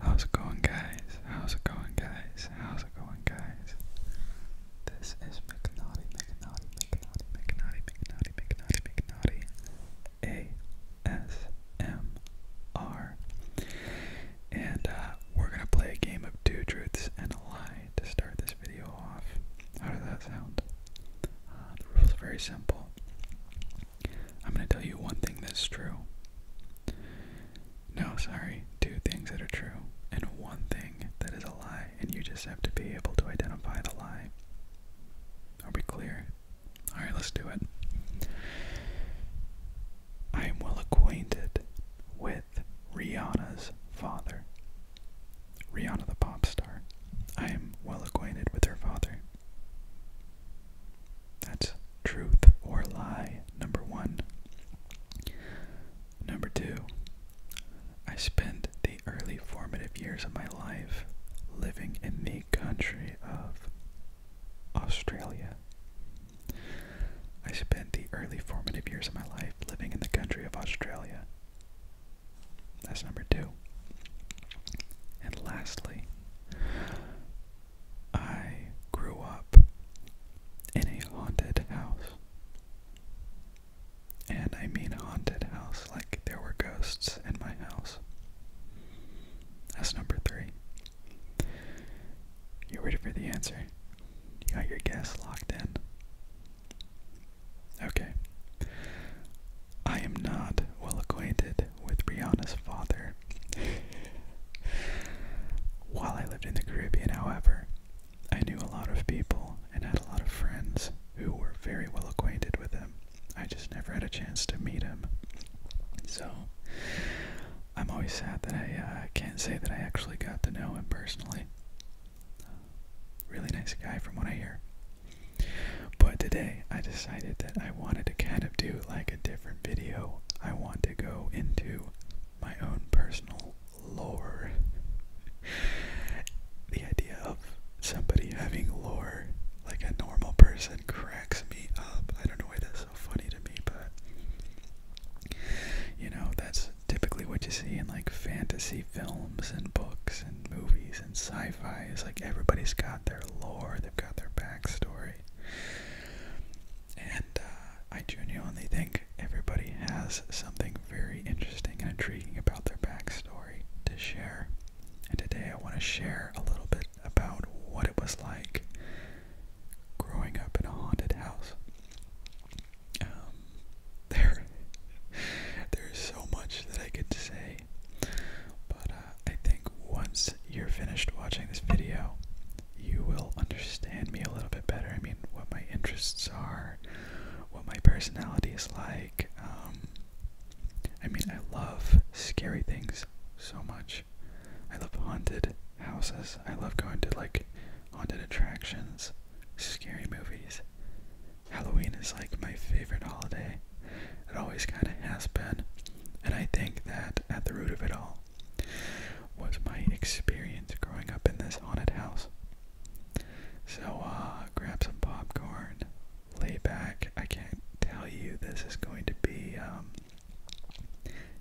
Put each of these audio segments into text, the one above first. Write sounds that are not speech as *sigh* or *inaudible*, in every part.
How's it going, guys? How's it going, guys? How's it going, guys? This is McNaughty, McNaughty, McNaughty, McNaughty, McNaughty, McNaughty, McNaughty, A S M R. And uh, we're gonna play a game of two truths and a lie to start this video off. How does that sound? Uh, the rule's very simple. I'm going to tell you one thing that's true. No, sorry, two things that are true, and one thing that is a lie, and you just have to be able to identify the lie. Are we clear? Alright, let's do it. I am well acquainted with Rihanna's father. Rihanna the pop star. I am well acquainted with her father. That's truth or lie, number one. Number two, I spent the early formative years of my life living in the country of Australia. I spent the early formative years of my life living in the country of Australia. That's number two. And lastly, I grew up in a haunted house. And I mean haunted house, like there were ghosts in my house. That's number three. You ready for the answer? You got your guess locked in. Okay. I am not well acquainted with Rihanna's father. While I lived in the Caribbean, however, I knew a lot of people and had a lot of friends who were very well acquainted with him. I just never had a chance to meet him. So, I'm always sad that I uh, can't say that I actually got to know him personally. really nice guy from what I hear. But today I decided that I wanted to kind of do like a different video. I want to go into my own personal lore. *laughs* the idea of somebody having lore like a normal person cracks me up. I don't know why that's so funny to me, but you know, that's typically what you see in like fantasy films and books and movies and sci fi. Is like everybody's got their lore, they've got their backstory. And uh, I genuinely think everybody has something very interesting and intriguing about their backstory to share. And today I want to share a little bit about what it was like growing up in a haunted house. Um, there, there's so much that I could say, but uh, I think once you're finished watching this video, you will understand me a little bit better. I mean, what my interests are, what my personality is like. Um, I mean, I love scary things so much. I love haunted houses. I love going to like haunted attractions, scary movies. Halloween is like my favorite holiday. It always kind of has been. And I think that at the root of it all was my experience growing up in this haunted house. So, uh, grab some popcorn, lay back. I can't tell you this is going to be, um,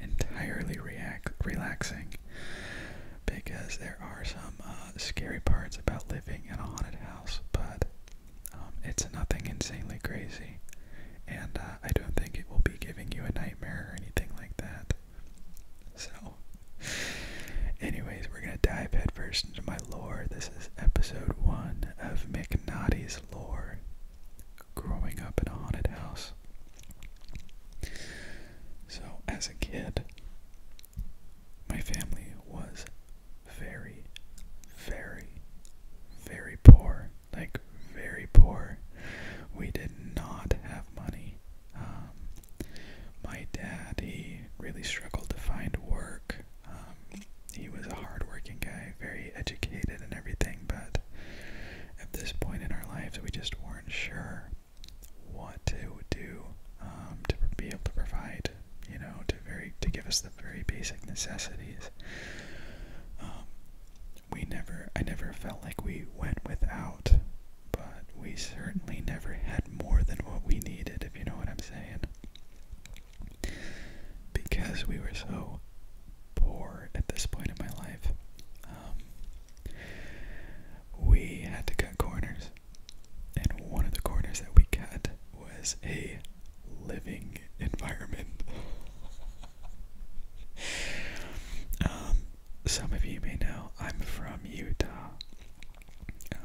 entirely relaxing because there are some uh, scary parts about living in a haunted house, but um, it's nothing insanely crazy, and uh, I don't think it will be giving you a nightmare or anything like that. So, anyways, we're gonna dive headfirst into my lore. This is episode one of McNaughty's lore growing up in a haunted house. So, as a kid, my family was very, very, very poor. Like, very poor. We did not have money. Um, my dad, he really struggled to find work. Um, he was a hardworking guy, very educated and everything, but at this point in our lives, we just weren't sure what to do um, to be able to provide, you know, to very to give us the very basic necessities. Um, we never, I never felt like we went without, but we certainly never had more than what we needed, if you know what I'm saying, because we were so poor at this point in my life. Um, we had to cut corners, and one of the corners that we cut was a living environment. *laughs* Um, some of you may know I'm from Utah, um,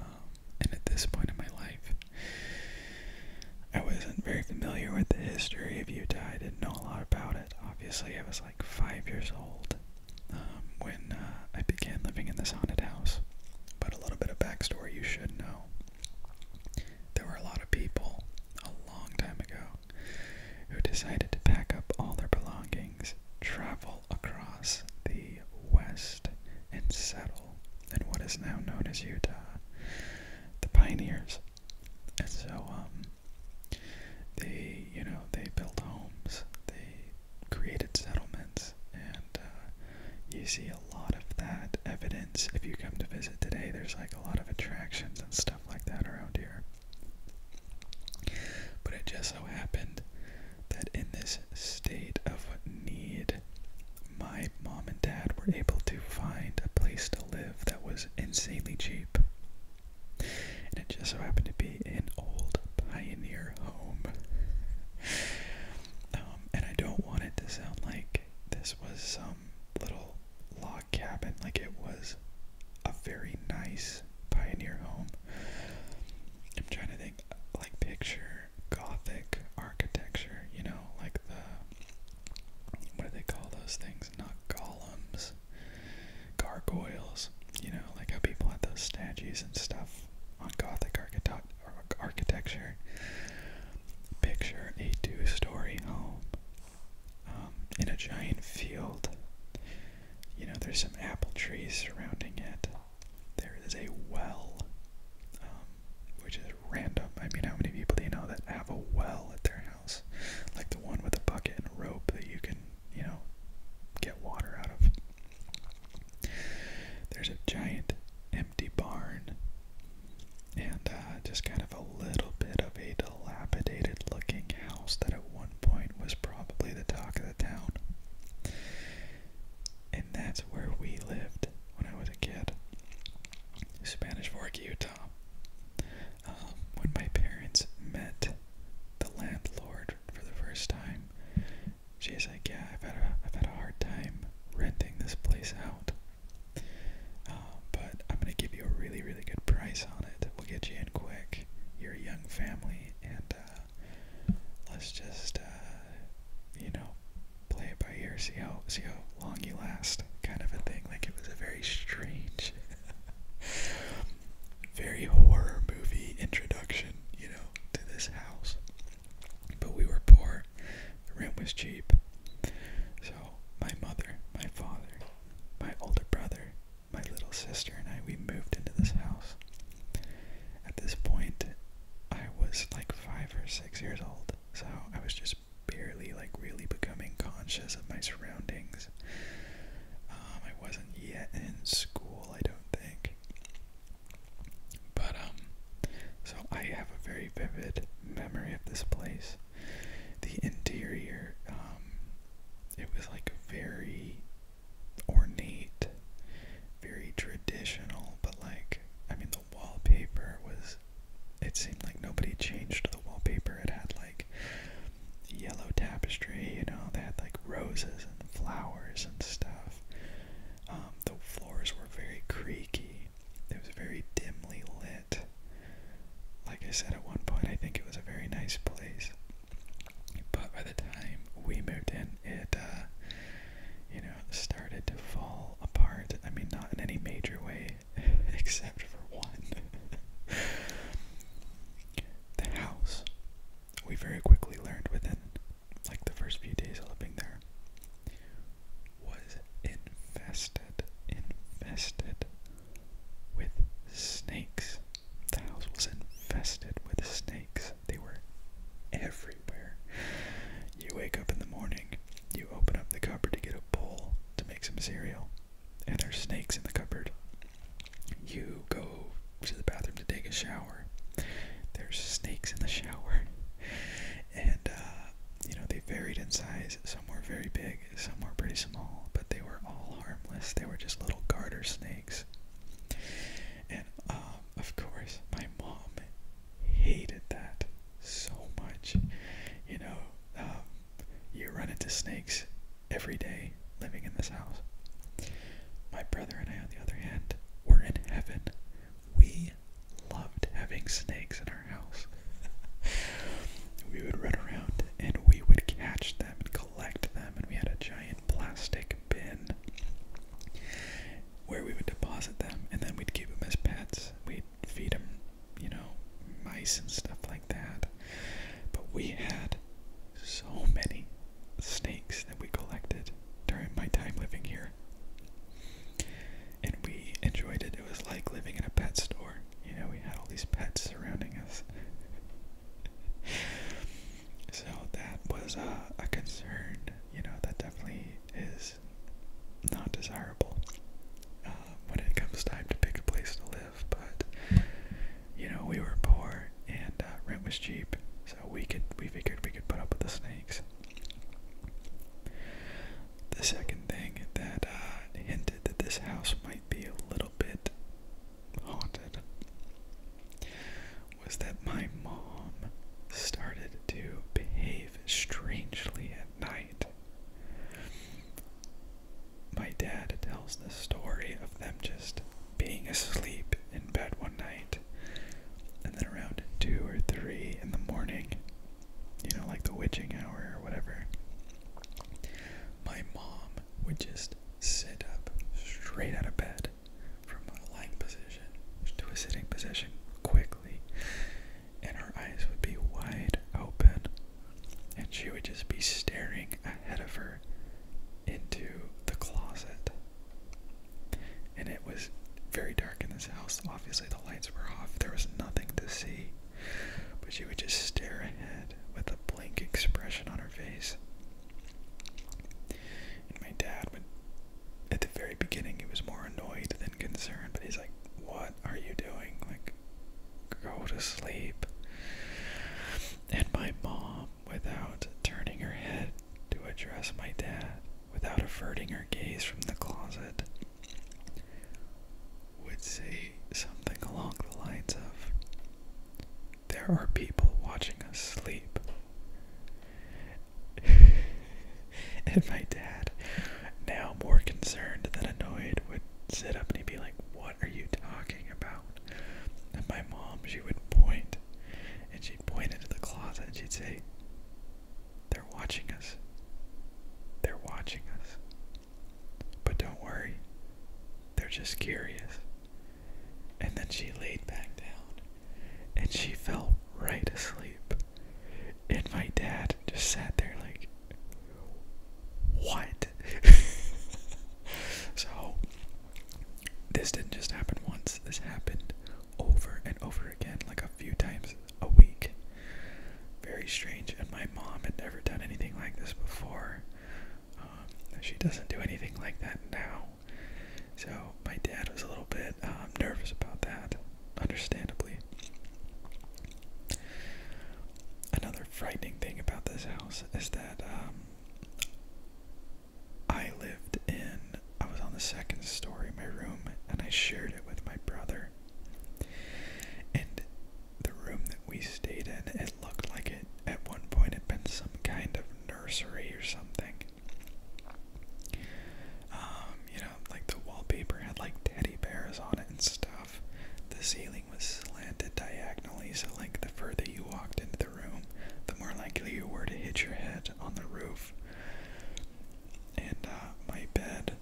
and at this point in my life, I wasn't very familiar with the history of Utah. I didn't know a lot about it. Obviously, I was like five years old um, when uh, I began living in this haunted house. But a little bit of backstory you should know. There were a lot of people a long time ago who decided to pack up all their belongings, travel across the west, and settle in what is now known as Utah. The pioneers and so, um, they, you know, they built homes, they created settlements, and uh, you see a lot of that evidence if you come to visit today. There's like a lot of attractions and stuff like that around here. But it just so happened that in this state of need, my mom and dad were able to find a place to live live that was insanely cheap. And it just so happened to be an old pioneer home. um, and I don't want it to sound like this was some little log cabin, like it was a very nice pioneer home. I'm trying to think, like, picture gothic architecture, you know, like the. What do they call those things? things, not golems, gargoyles. You know, like how people had those statues and stuff on Gothic architect architecture. Picture a two-story home um, in a giant field. You know, there's some apple trees surrounding it. There is a well, um, which is random. I mean, how many people do you know that have a well at their house, like the one with a bucket and a rope that you can, you know, get water out of. There's a giant empty barn and uh, just kind of a little bit of a dilapidated looking house that at one point was probably the talk of the town. And that's where we lived when I was a kid. Spanish Fork, Utah. Um, when my parents met the landlord for the first time, she's like, "Yeah, I've had a, I've had a hard time renting this place out, uh, but I'm gonna give you a really, really good price on it. We'll get you in quick. You're a young family, and uh, let's just, uh, you know, play it by ear, see how see how long you last, kind of a thing. Like it was a very strange, *laughs* very horror movie introduction, you know, to this house. But we were poor, the rent was cheap, so my mother, my father, my older brother, my little sister, and I we moved into this house. At this point, I was like five or six years old, so I was just barely like really becoming conscious of my surroundings. Um, I wasn't yet in school, I don't think. But um, so I have a very vivid memory of this place. The interior, um, it was like very ornate, very traditional, but like I mean the wallpaper was because it seemed like nobody changed the wallpaper. It had like yellow tapestry, you know, they had like roses and flowers and stuff. Um, the floors were very creaky, it was very dimly lit. Like I said at one point, I think it was a very nice place. But by the time we moved in, it, uh, you know, started to fall apart. I mean, not in any major way, *laughs* except for one. *laughs* the house, we very quickly learned within like the first few days of living there, was infested, infested with snakes. The house was infested with snakes. They were everywhere. You wake up in the morning you open up the cupboard to get a bowl to make some cereal, and there's snakes in the cupboard. You go to the bathroom to take a shower. There's snakes in the shower, and uh, you know they varied in size. Some were very big, some were pretty small, but they were all harmless. They were just little garter snakes. And um, of course, my mom hated that so much. You know, um, you run into snakes every day living in this house. My brother and I, on the other hand, were in heaven. We loved having snakes in our house. *laughs* we would run around and we would catch them and collect them, and we had a giant plastic bin where we would deposit them and then we'd keep them as pets. We'd feed them, you know, mice and stuff like that. But we had so many snakes that we collected during my time living here. And we enjoyed it. It was like living in a pet store. You know, we had all these pets surrounding us. *laughs* so that was uh, a concern. You know, that definitely is is not desirable uh, when it comes time to pick a place to live. But you know, we were poor and uh, rent was cheap, so we could we figured we could put up with the snakes. The second thing that uh, hinted that this house might be a little bit haunted was that my mom started to behave strangely at night. My dad tells the story of them just being asleep in bed one night, and then around 2 or 3 in the morning, you know, like the witching hour or whatever, my mom would just sit up straight out of bed from a lying position to a sitting position quickly and her eyes would be wide open, and she would just be staring ahead of her into the closet. And it was very dark in this house. Obviously, the lights were off, there was nothing to see, but she would just stare ahead with a blank expression on her face. my dad would at the very beginning he was more annoyed than concerned, but he's like, What are you doing? Like, go to sleep. And my mom, without turning her head to address my dad, without averting her gaze from the closet, would say something along the lines of, There are people watching us sleep. *laughs* and my dad, now more concerned than annoyed, would sit up and he'd be like, What are you talking about? And my mom, she would point and she'd point into the closet and she'd say, They're watching us. They're watching us. But don't worry, they're just curious. And then she laid back down and she fell right asleep. And my dad just sat there like, what? *laughs* so, this didn't just happen once, this happened over and over again, like a few times a week. Very strange, and my mom had never done anything like this before. Um, she doesn't do anything like that now. So, my dad was a little bit I'm nervous about that, understandably. Another frightening thing about this house is that um, I lived in, I was on the second story, my room, and I shared it with my brother. And the room that we stayed in, it looked like it at one point had been some kind of nursery or something. Um, you know, like the wallpaper had like teddy bears on it and stuff. The ceiling was slanted diagonally, so like the further you walked into the room, the more likely you were to hit your head on the roof. And uh, my bed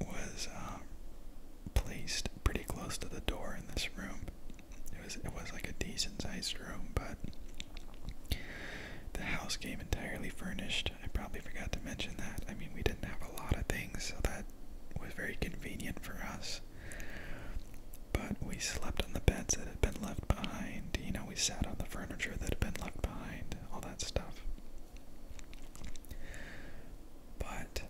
was um, placed pretty close to the door in this room. It was it was like a decent sized room, but the house came entirely furnished. I probably forgot to mention that. I mean, we didn't have a lot of things, so that was very convenient for us. But we slept on the beds that had been left behind. You know, we sat on the furniture that had been left behind, all that stuff. But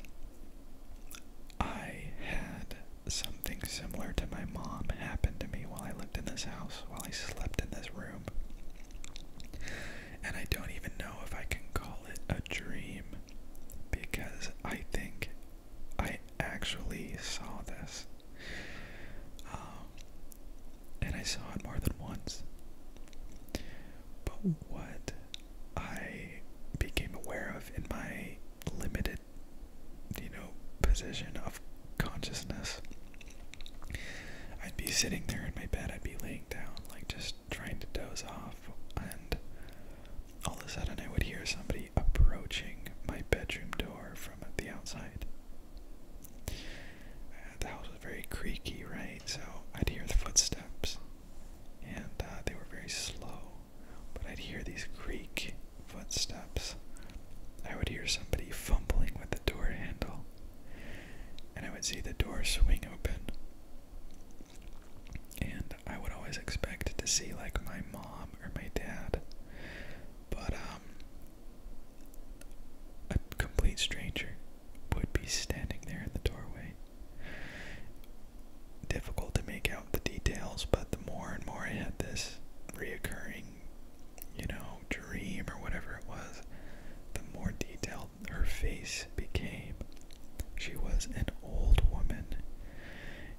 I had something similar to my mom happen to me while I lived in this house while I slept in this room. And I don't even know if I can call it a dream because I think I actually saw this. Um, and I saw it more than once. But what I became aware of in my limited you know, position of consciousness. I'd be sitting there in my bed, I'd be laying down, like just trying to doze off, and all of a sudden I would hear somebody approaching my bedroom door from the outside. Uh, the house was very creaky, right? So I'd hear the footsteps, and uh, they were very slow, but I'd hear these creak footsteps, I would hear somebody fumbling with the door handle, and I would see the door swing open. And I would always expect to see like my mom or my dad, but um, a complete stranger would be standing there in the doorway. Difficult to make out the details, but the more and more I had this reoccurring you know, dream or whatever it was, the more detailed her face became. She was an old woman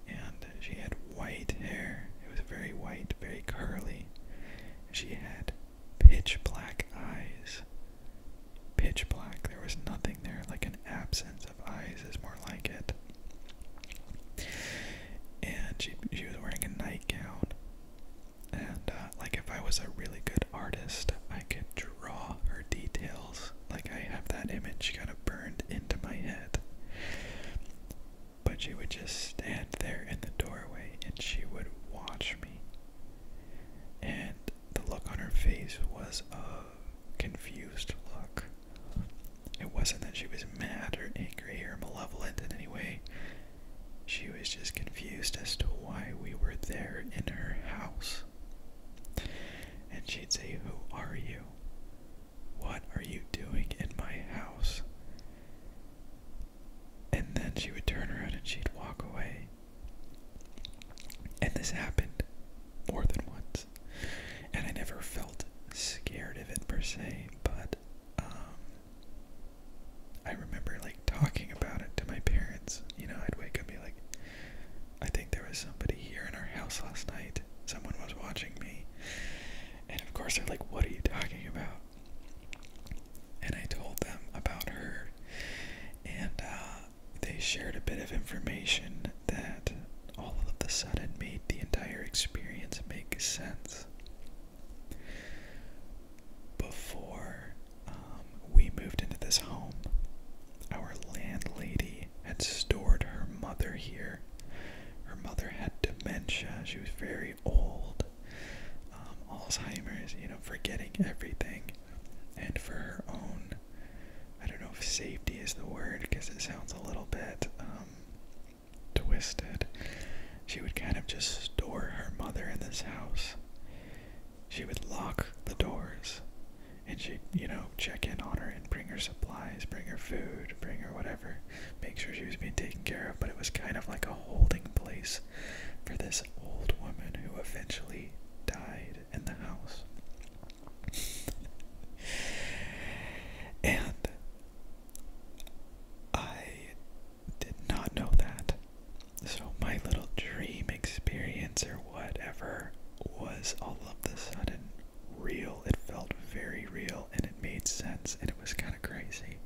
and she had white hair. It was very white, very curly. She had pitch black eyes. Pitch black. There was nothing there, like an absence of eyes is more like it. And she she was wearing a nightgown. And uh, like if I was a really good artist, I could draw her details. Like I have that image kind of burned into my head. But she would just stand there in the doorway and she would watch me. And the look on her face was a confused look. It wasn't that she was mad or angry or malevolent in any way. She was just confused as to why we were there in her house. And she'd say, Who are you? What are you doing in my house? And then she would turn around and she'd walk away. And this happened more than once. And I never felt scared of it per se, but um, I remember like talking about it to my parents. You know, I'd wake up and be like, I think there was somebody here in our house last night. Someone was watching me. And of course, they're like, What are you talking about? And I told them about her. And uh, they shared a bit of information that all of the sudden made the entire experience make sense. Before um, we moved into this home, our landlady had stored her mother here. Her mother had dementia, she was very old, um, Alzheimer's, you know, forgetting everything. And for her own, I don't know if safety is the word because it sounds a little bit um, twisted. She would kind of just store her mother in this house. She would lock the doors and she'd, you know, check in on her and bring her supplies, bring her food, bring her whatever, make sure she was being taken care of. But it was kind of like a holding place for this old woman who eventually died in the house. *laughs* and I did not know that. So, my little dream experience or whatever was all of the sudden real. It felt very real and it made sense and it was kind of crazy.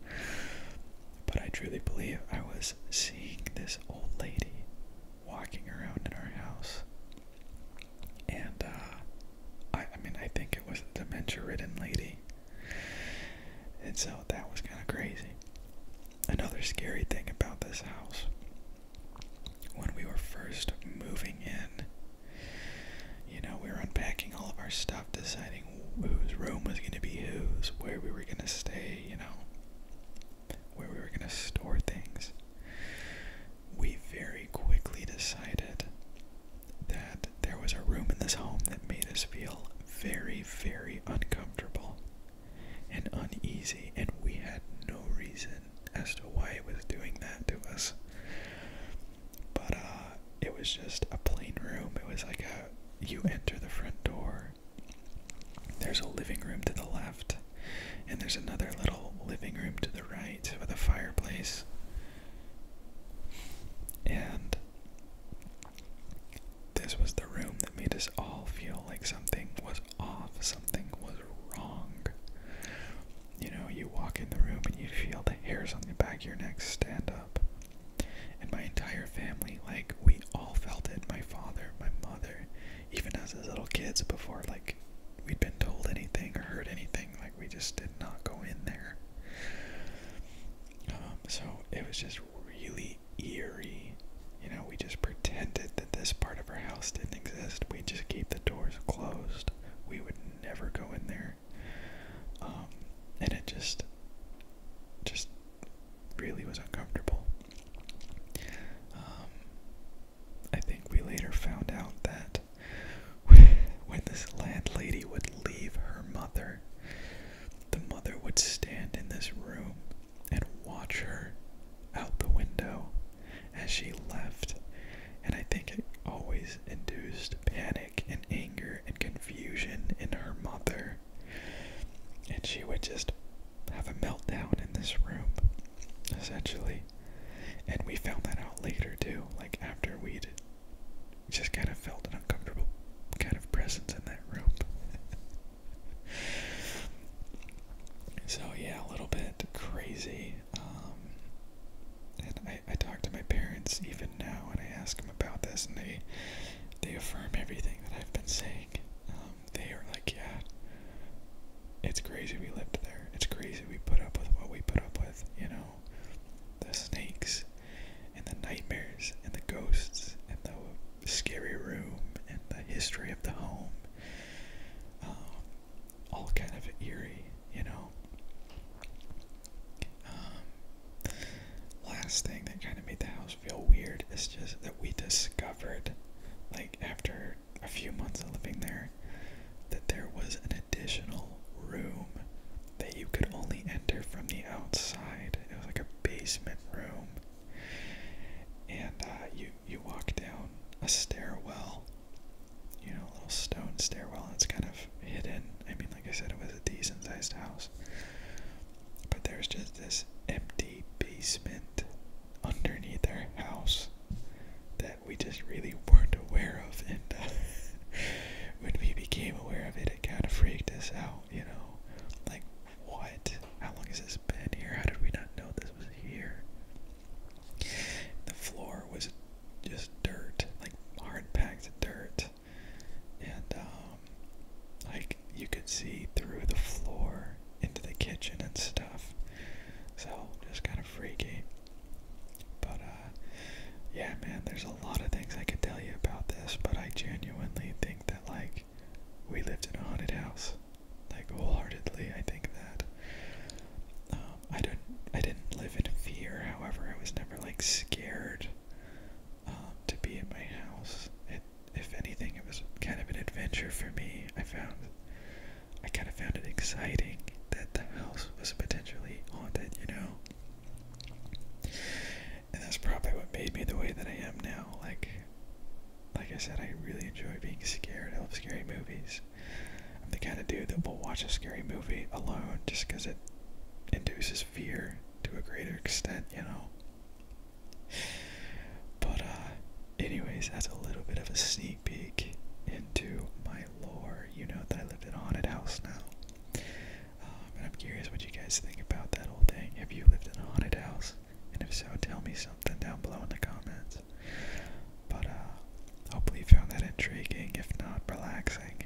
But I truly believe I was seeing this old lady walking around in our house and uh, I, I mean, I think it was a dementia-ridden lady, and so that was kind of crazy. Another scary thing about this house, when we were first moving in, you know, we were unpacking all of our stuff, deciding whose room was going to be whose, where we were going to stay, you know, where we were going to store things we very quickly decided that there was a room in this home that made us feel very, very uncomfortable and uneasy, and we had no reason as to why it was doing that to us. But uh, it was just a plain room. It was like a you enter the front door, there's a living room to the left, and there's another little living room to the right with a fireplace. And this was the room that made us all feel like something was off, something was wrong. You know, you walk in the room and you feel the hairs on the back of your neck stand up. And my entire family, like, we all felt it. My father, my mother, even as little kids before, like, we'd been told anything or heard anything we just did not go in there. Um, so it was just really eerie. You know, we just pretended that this part of our house didn't exist. We just keep the doors closed. We would never go in there. Um, and it just, just really was uncomfortable. Um, I think we later found out that *laughs* when this landlady would leave her mother, the mother would stand in this room and watch her out the window as she left. And I think it always induced panic and anger and confusion in her mother. And she would just have a meltdown in this room, essentially way. And we found that out later too, like after we'd just kind of felt an uncomfortable kind of presence in that room. *laughs* so yeah, a little bit crazy. Um, and I, I talk to my parents even now, and I ask them about this, and they they affirm everything that I've been saying. Um, they are like, yeah, it's crazy we lived there. It's crazy we put up with what we put up with, you know? The snakes and the nightmares and the ghosts and the scary room and the history of the home. Um, all kind of eerie, you know? Um, last thing that kind of made the house feel weird is just that we discovered, like, after a few months of living there that there was an additional room that you could only enter from the outside. It was like a basement room, and uh, you you walk down a stairwell, you know, a little stone stairwell. And it's kind of hidden. I mean, like I said, it was a decent-sized house, but there's just this empty basement underneath our house that we just really weren't aware of. And uh, *laughs* when we became aware of it, it kind of freaked us out, you know? Like, what? How long has this been here? How did we not know this was here? The floor was just dirt, like hard packed dirt. And, um, like, you could see through the floor into the kitchen and stuff. So just kind of freaky. But uh, yeah man, there's a lot of things I can tell you about this, but I genuinely think that like we lived in a haunted house. Like wholeheartedly I think that. Um, I don't I didn't live in fear, however, I was never like scared um, to be in my house. It if anything it was kind of an adventure for me. I found I kind of found it exciting that the house was potentially haunted, you know? And that's probably what made me the way that I am now. Like, like I said, I really enjoy being scared. I love scary movies. I'm the kind of dude that will watch a scary movie alone just because it induces fear to a greater extent, you know? But, uh, Anyways, that's a little bit of a sneak peek into my lore. You know that I live in a haunted house now. Um, and I'm curious what you guys think about that whole thing. Have you lived in a haunted house? And if so, tell me something down below in the comments. But uh, hopefully you found that intriguing, if not relaxing.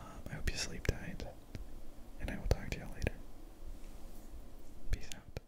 Um, I hope you sleep tight, and I will talk to y'all later. Peace out.